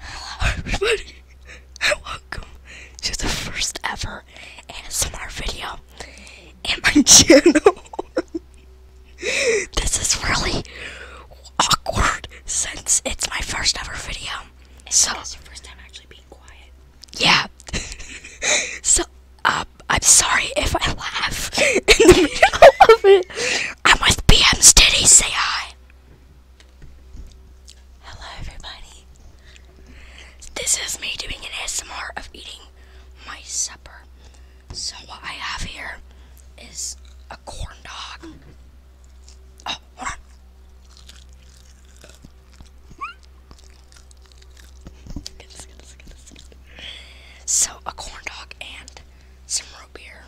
Hello everybody and welcome to the first ever ASMR video in my channel. this is really awkward since it's my first ever video. And so it's your first time actually being quiet. Yeah. so uh, I'm sorry if I laugh in the middle of it. I'm with BM's Diddy, say hi. Hello, everybody. This is me doing an ASMR of eating my supper. So, what I have here is a corn dog. Oh, hold on. So, a corn dog and some root beer.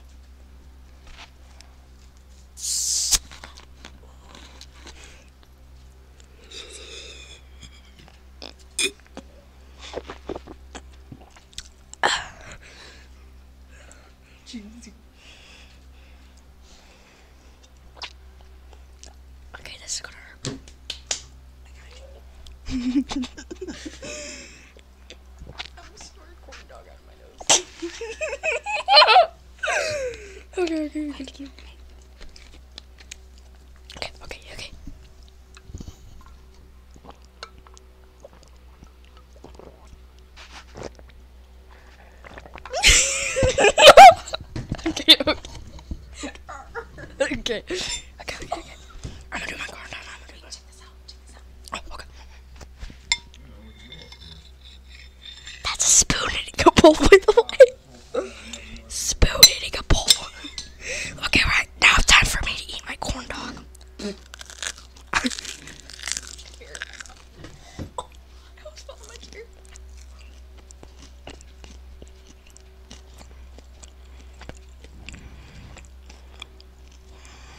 Okay, this is gonna hurt. okay, okay, okay. Okay, okay, okay. okay, okay. Okay. Okay, I'm gonna do my card. I'm gonna do this. Oh, That's a spoon hitting a bowl, by the way. Spoon hitting a bowl. Okay, right. Now it's time for me to eat my corn dog.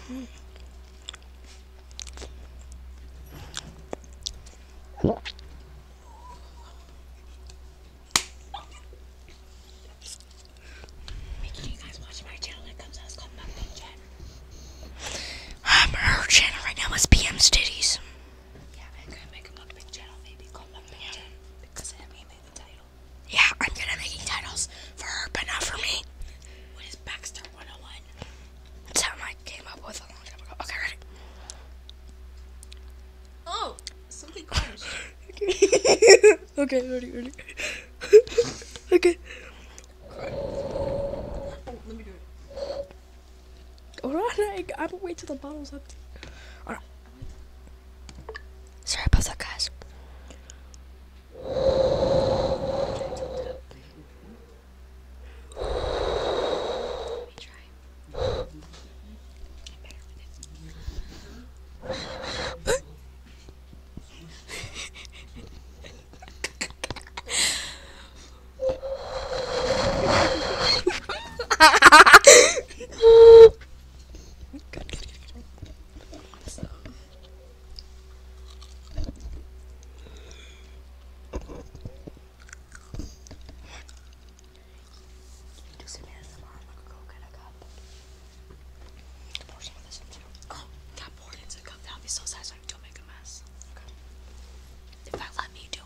Make sure her channel right now is PM Studies. Yeah, I'm gonna make a mukbang channel maybe called Mukbang yeah. because I mean the title. Yeah, I'm gonna make titles for her, but not for me. What is Baxter 101. That's how I came up with a long time ago. Okay, ready? Oh, something crashed. okay, ready, ready. okay. Oh, let me do it. Alright, I'm gonna wait till the bottle's empty. Alright. Sorry about that, guys. Gentle tapping. Let me try. I'm better with it. good, good, good, good. Awesome do some ASMR, I'm going go get a cup. Pour some of this into Oh, yeah, pour into the cup. That would be so satisfying. Don't make a mess. Okay. In let me do it.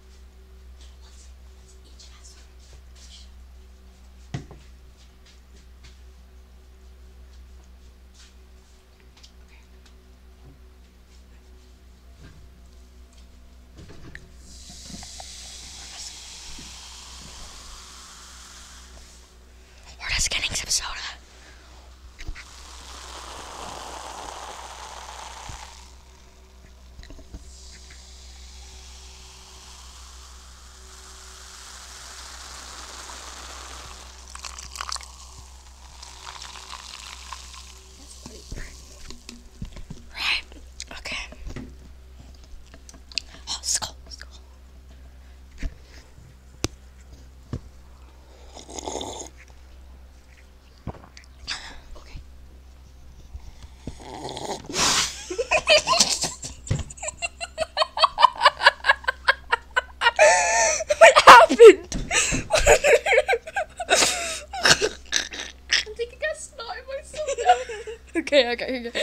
We're just getting some soda. Right. Okay. Oh, skull, skull okay. what happened? I'm taking a snot myself now. okay, okay, okay.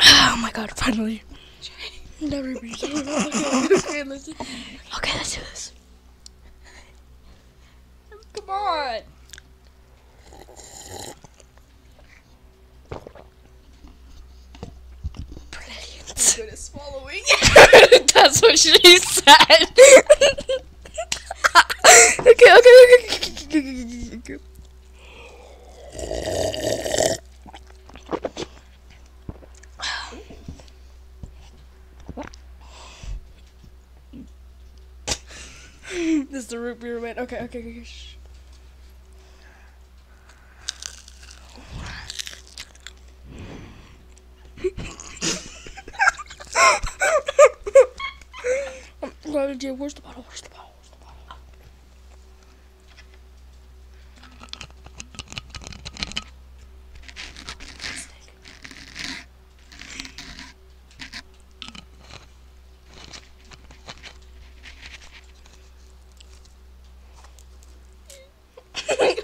Oh my god, finally. Never okay, let's do this. Come on. Brilliant. swallowing. That's what she said. okay, okay, okay. this is the root beer man. Okay, okay, okay. Shh. Where's the bottle? Where's the bottle? Where's the bottle?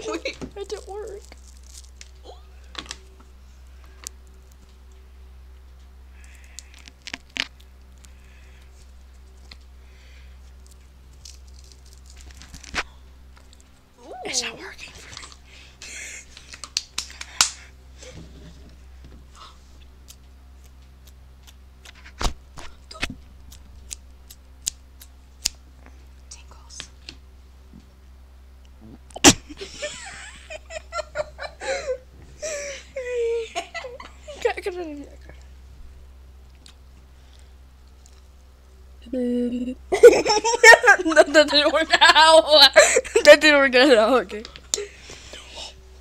Wait, that didn't work. Ooh. It's not working for me. Tinkles. that, didn't work out. that didn't work out. Okay.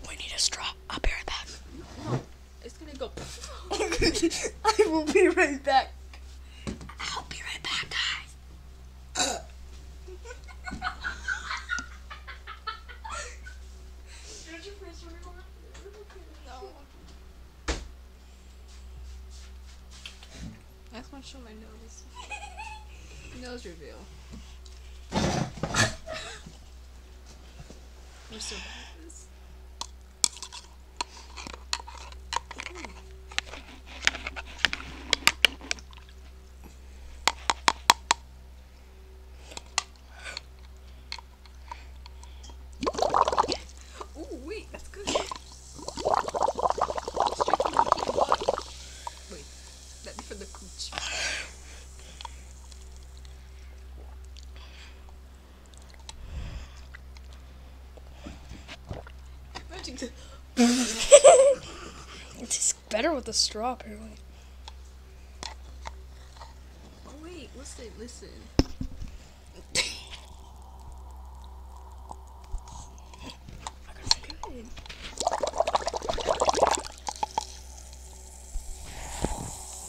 We need a straw. I'll be right back. it's gonna go. I will be right back. I'll be right back, guys. That's my show my nose. nose reveal. We're so bad at this. Oh wait, that's good. Wait, that'd be for the cooch. Imagine the. it's better with a straw, apparently. Oh, wait, what's the listen?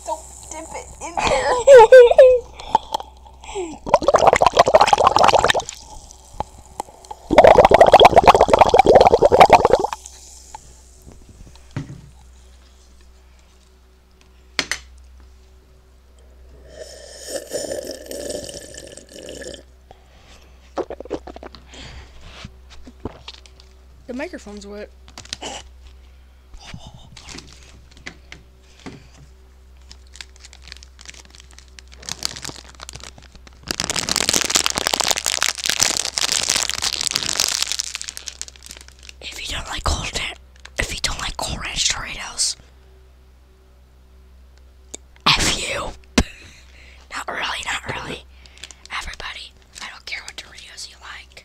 Don't dip it in there. The microphone's wet. If you don't like cold, if you don't like cold ranch Doritos, f you. not really, not really. Everybody, I don't care what Doritos you like.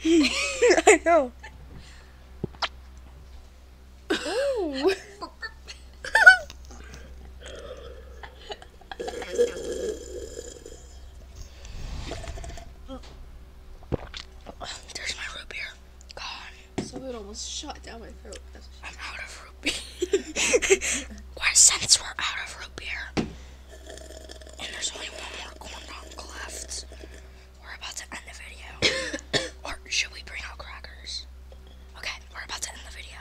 I know. Ooh. There's my root beer. God, So it almost shot down my throat. I'm out of root beer. since we're out of root beer, and there's only one more corn dog left, we're about to end the video. or should we bring out crackers? Okay, we're about to end the video.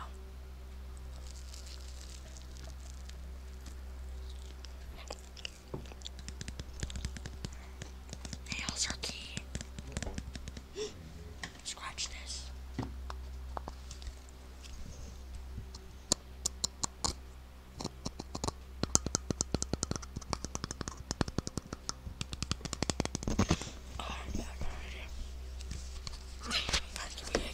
Nails are key. Scratch this. Oh, I have no idea. That's big.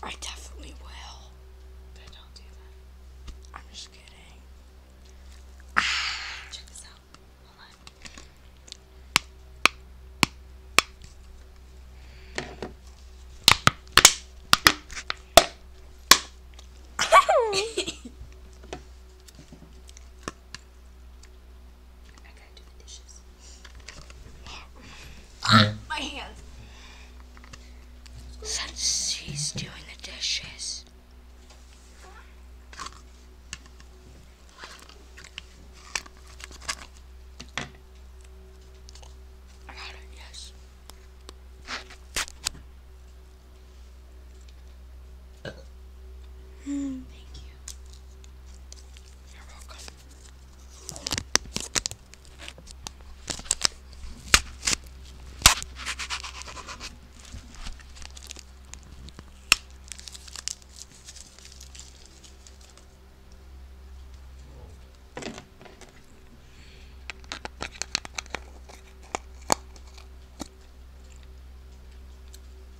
I definitely will. But don't do that. I'm just kidding. Check this out. Hold on. I gotta do the dishes my hands. Since she's doing the dishes. I got it, yes. Hmm, thank you. You're welcome.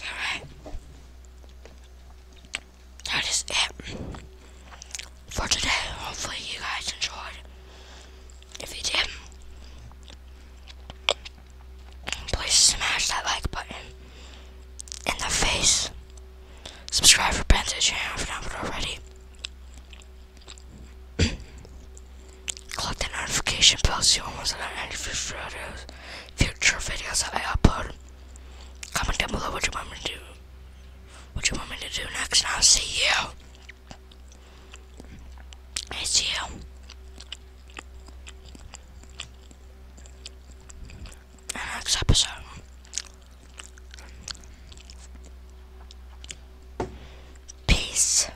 Alright. That is it for today. Hopefully you guys enjoyed. If you did, please smash that like button in the face. Subscribe for Bento channel if you haven't already. Click that notification bell so you won't miss any future videos, future videos I upload. Comment down below what you want me to do. What you want me to do next, and I'll see you. I see you. next episode. Peace.